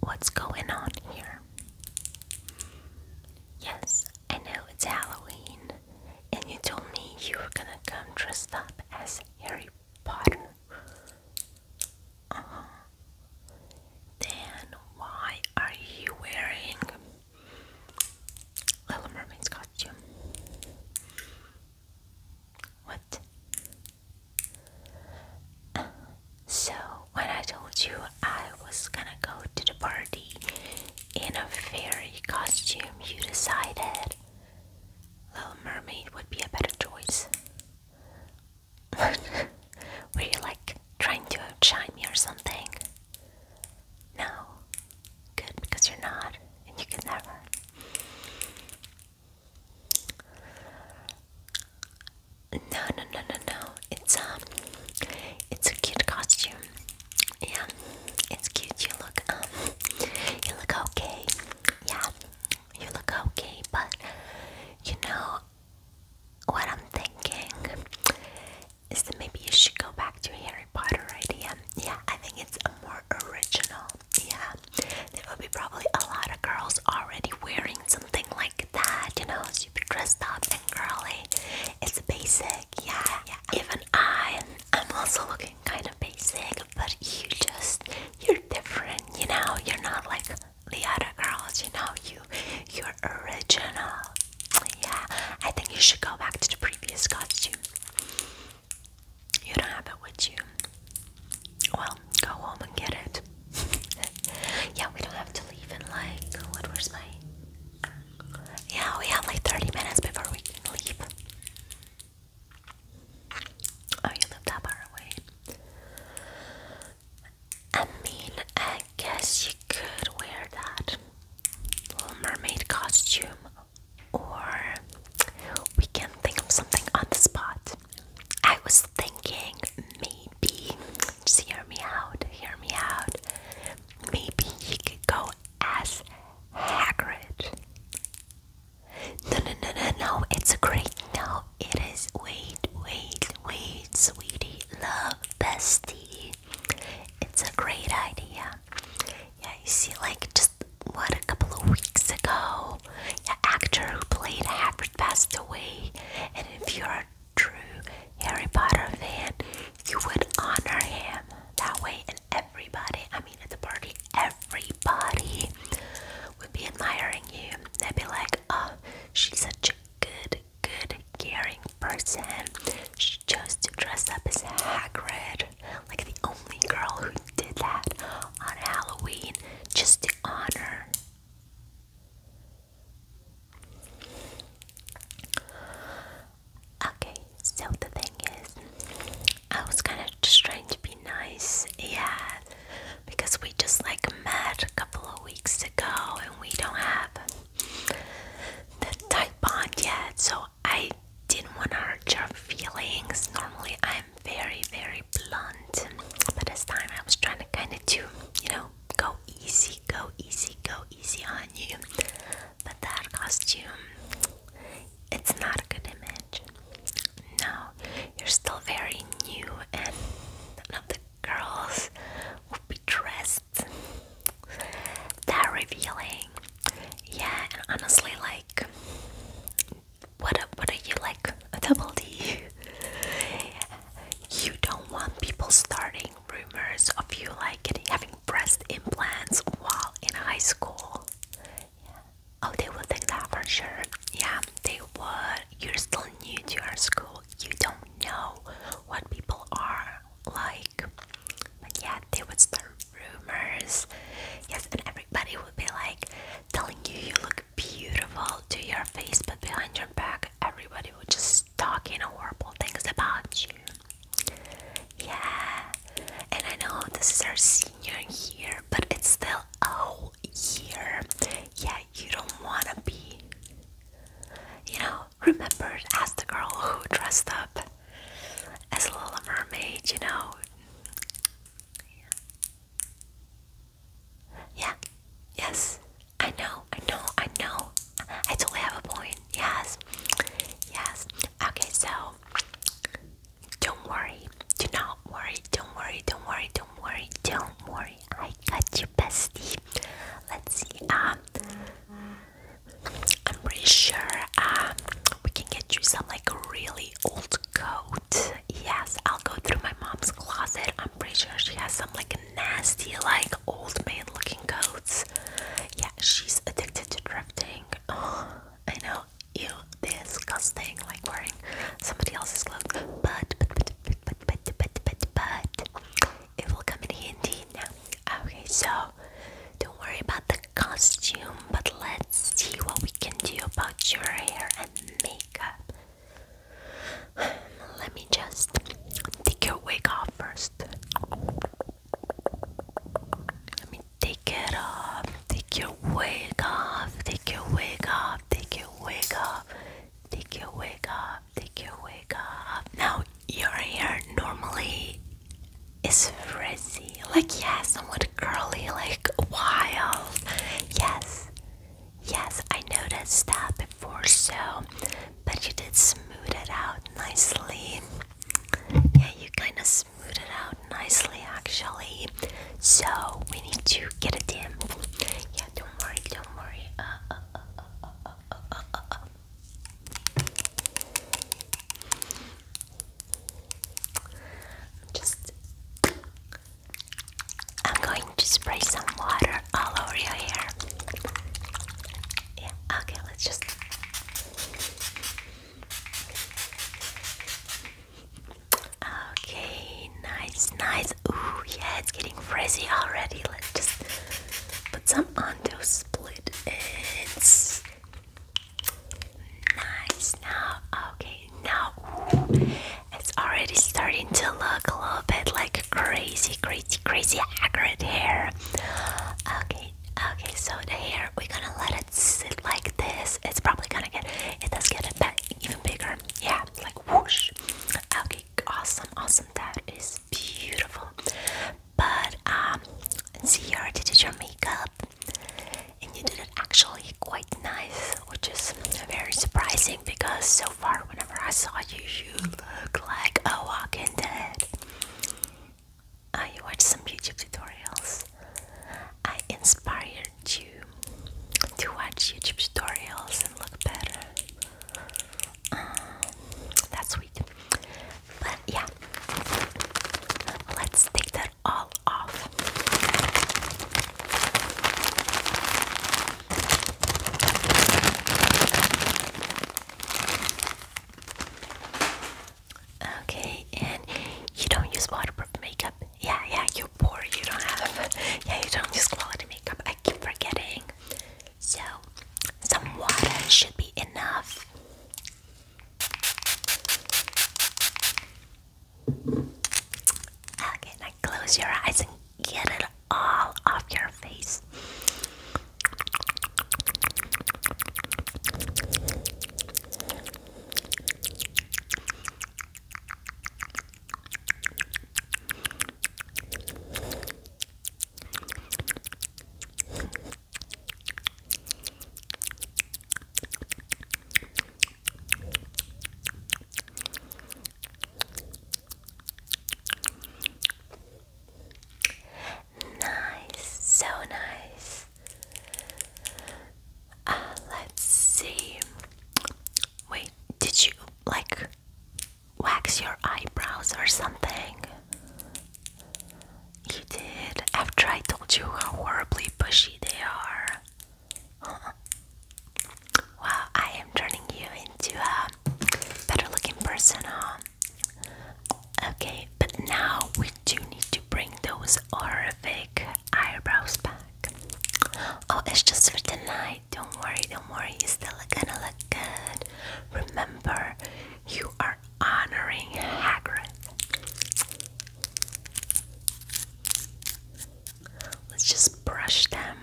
What's going on here? Yes, I know it's Halloween, and you told me you were gonna come dressed up as Harry Potter. Uh huh. Then why are you wearing Little Mermaid's costume. What? so, when I told you I was gonna go to the party in a fairy costume, you decided Little Mermaid would be a better choice. Were you like trying to outshine me or something? No. Good, because you're not, and you can never. No, no, no, no, no. It's um, it's a cute costume. Yeah, it's cute. You look um, you look okay. Yeah, you look okay. But you know what I'm thinking is that maybe you should go back to Harry Potter idea. Yeah, I think it's a more original. Yeah, there will be probably a lot of girls already wearing something like that, you know, super dressed up and girly. It's basic. Yeah, yeah. Even I, I'm also looking kind of basic, but you just, you're different, you know, you're not like the other girls, you know, you, you're original. Yeah, I think you should go back to the previous costume. You don't have it with you. Well, go home and get it. yeah, we don't have to leave in like what my Yeah, we have like 30 minutes before we can leave. Oh, you live that far away. I mean, I guess you could wear that Little Mermaid costume or we can think of something on the spot. I was thinking maybe, just hear me out, hear me out. Maybe he could go as Hagrid. No, no, no, no, no, it's a great no. It is, wait, wait, wait, sweetie, love, bestie. It's a great idea. Yeah, you see, like just what a couple of weeks ago, the actor who played Hagrid passed away, and if you're a true Harry Potter fan, you would honor him that way, and everybody, I mean, at the party, everybody would be admiring you. They'd be like, "Oh, she's such a good, good, caring person. She chose to dress up as Hagrid, like the only girl who did that on Halloween, just to honor. Okay, so the thing is, I was kind of just trying to be nice, yeah, because we just like met a couple of weeks ago and we don't have the tight bond yet, so I didn't want to hurt your feelings. Normally, I'm very, very blunt, but this time I was trying to kind of you know, go easy, go easy, go easy on you. But that costume, it's not a good image. No, you're still very new, and none of the girls will be dressed that revealing. Yeah, and honestly, like, what are, what are you like a double D? you don't want people starting rumors of you like having breast implants while in high school. Oh, they will think that for sure. Yeah, they would. You're still new to our school. You don't know what people are like but yeah, there was the rumors. Yes, and everybody would be like telling you you look beautiful to your face, but behind your back, everybody would just talking horrible things about you. Yeah, and I know this is our senior year, but it's still a whole year. Yeah, you don't want to be, you know, remembered as the girl who dressed up as a little mermaid, you know. Yeah, yes, I know, I know, I know. I totally have a point. Yes, yes. Okay, so don't worry, do not worry, don't worry, don't worry, don't worry, don't worry. I got you, bestie. Let's see. Um, I'm pretty sure um, we can get you some like really old coat. Yes, I'll go through my mom's closet. I'm pretty sure she has some like nasty, like old maid looking coats. Yeah, she's addicted to drifting. Oh, I know, you disgusting, like wearing somebody else's clothes. But, but, but, but, but, but, but, but, but, it will come in handy now. Okay, so don't worry about the costume, but let's see what we can do about your hair and makeup. Let me just take your wig off first. Let me take it off. Take your wig off. Take your wig off. Take your wig off. Take your wig off. Take your wig off. Now your hair normally is frizzy, like yeah, somewhat curly, like wild. Yes, yes, I noticed that before, so but you did smooth it out nicely. Yeah, you kind of smooth it out nicely, actually. So we need to get a in. Yeah, don't worry, don't worry. Just I'm going to spray some water all over your hair. Yeah, okay, let's just Okay, nice, nice. Ooh, yeah, it's getting frizzy already. Let's just put some on those split ends. Nice. Now, okay, now it's already starting to look a little bit like crazy, crazy, crazy accurate hair. Okay, okay, so the hair, we're gonna let it sit like this. It's probably gonna get, it does get a bit even bigger. Yeah, like whoosh. Okay, awesome, awesome. That is beautiful but um, see you already did your makeup and you did it actually quite nice which is very surprising because so far whenever I saw you you look like a walking dead I uh, watched some YouTube tutorials I inspired you to watch YouTube tutorials and look better um, that's what but yeah, let's take that all off. Okay, and you don't use waterproof makeup. Yeah, yeah, you're poor. You don't have. Yeah, you don't use quality makeup. I keep forgetting. So, some water should be enough. Okay, now close your eyes and get it all off your face. Nice, so nice. Uh, let's see. Wait, did you like wax your eyebrows or something? You did after I told you how horribly bushy they are. Huh. I am turning you into a better looking person, huh? Okay, but now we do need to bring those horrific eyebrows back. Oh, it's just for tonight. Don't worry, don't worry. You're still gonna look good. Remember, you are honoring Hagrid. Let's just brush them.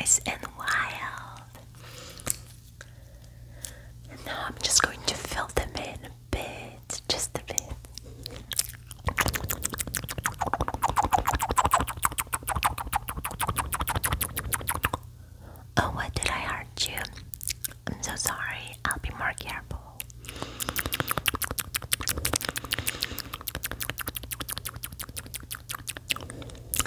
Nice and wild now I'm just going to fill them in a bit, just a bit. Oh, what did I hurt you? I'm so sorry. I'll be more careful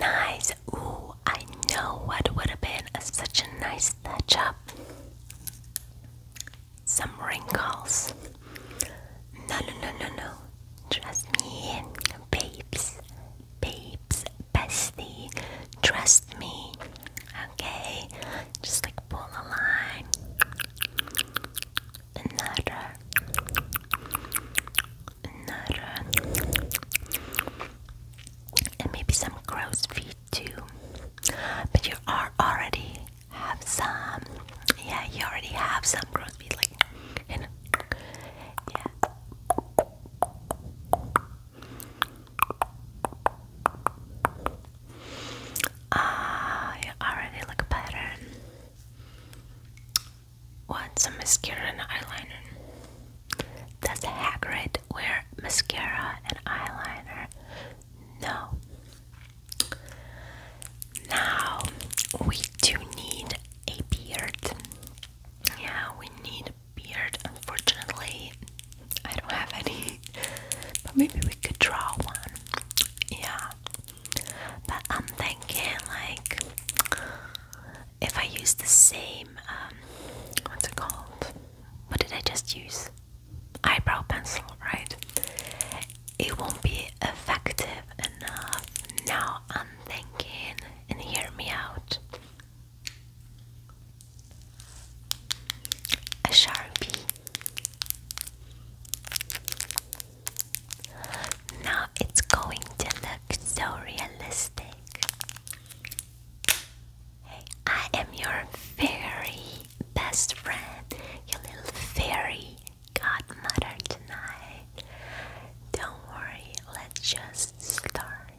Nice. Ooh, I know what would have been such a nice touch up. Some wrinkles. No, no, no, no, no. Trust me, babes, babes, bestie, trust me, okay? Just like pull a line, another, another, and maybe some crow's too. But you are already have some, yeah, you already have some crow's like, yeah. Ah, already look better. What's a mascara and eyeliner? Does Hagrid wear mascara and eyeliner? No. Now we do need a beard. Yeah, we need beard, unfortunately, I don't have any. But maybe we could draw one. Yeah. But I'm thinking, like, if I use the same, um, what's it called? What did I just use? Eyebrow pencil, right? It won't be effective enough. Now I'm thinking, and hear me out a sharpie. Now it's going to look so realistic. Hey, I am your very best friend, your little fairy godmother tonight. Don't worry, let's just start.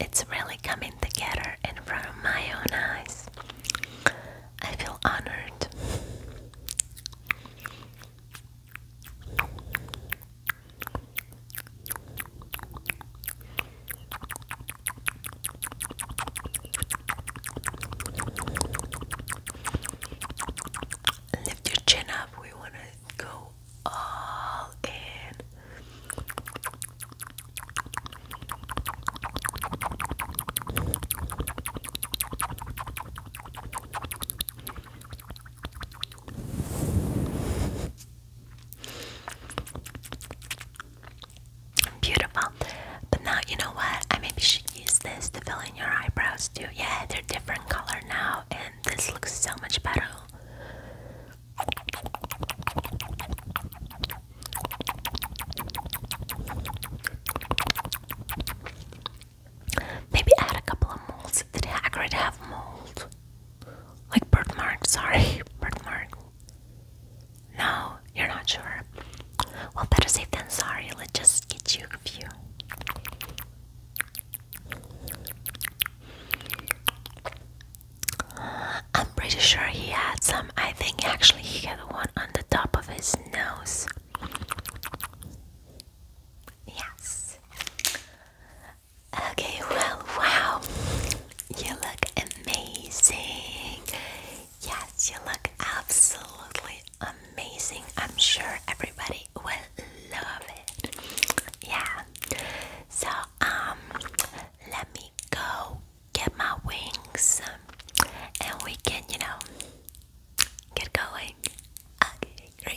It's really coming together in front of my own eyes. I feel honored. Lift your chin up. We want to go all in. Beautiful. But now you know what? I maybe should use this to fill in your eyebrows too. Yeah, they're different color now and this looks so much better. Maybe add a couple of molds. Did Hagrid have mold? Like birthmark, sorry, birthmark. No, you're not sure. Well, better safe than sorry. Let's just get you a few. I'm pretty sure he had some. I think actually he had one on the top of his nose. Yes. Okay, well, wow, you look amazing. Yes, you look absolutely amazing. I'm sure everybody will love it. Yeah, so, um, let me go get my wings and we can, you know, get going. Okay,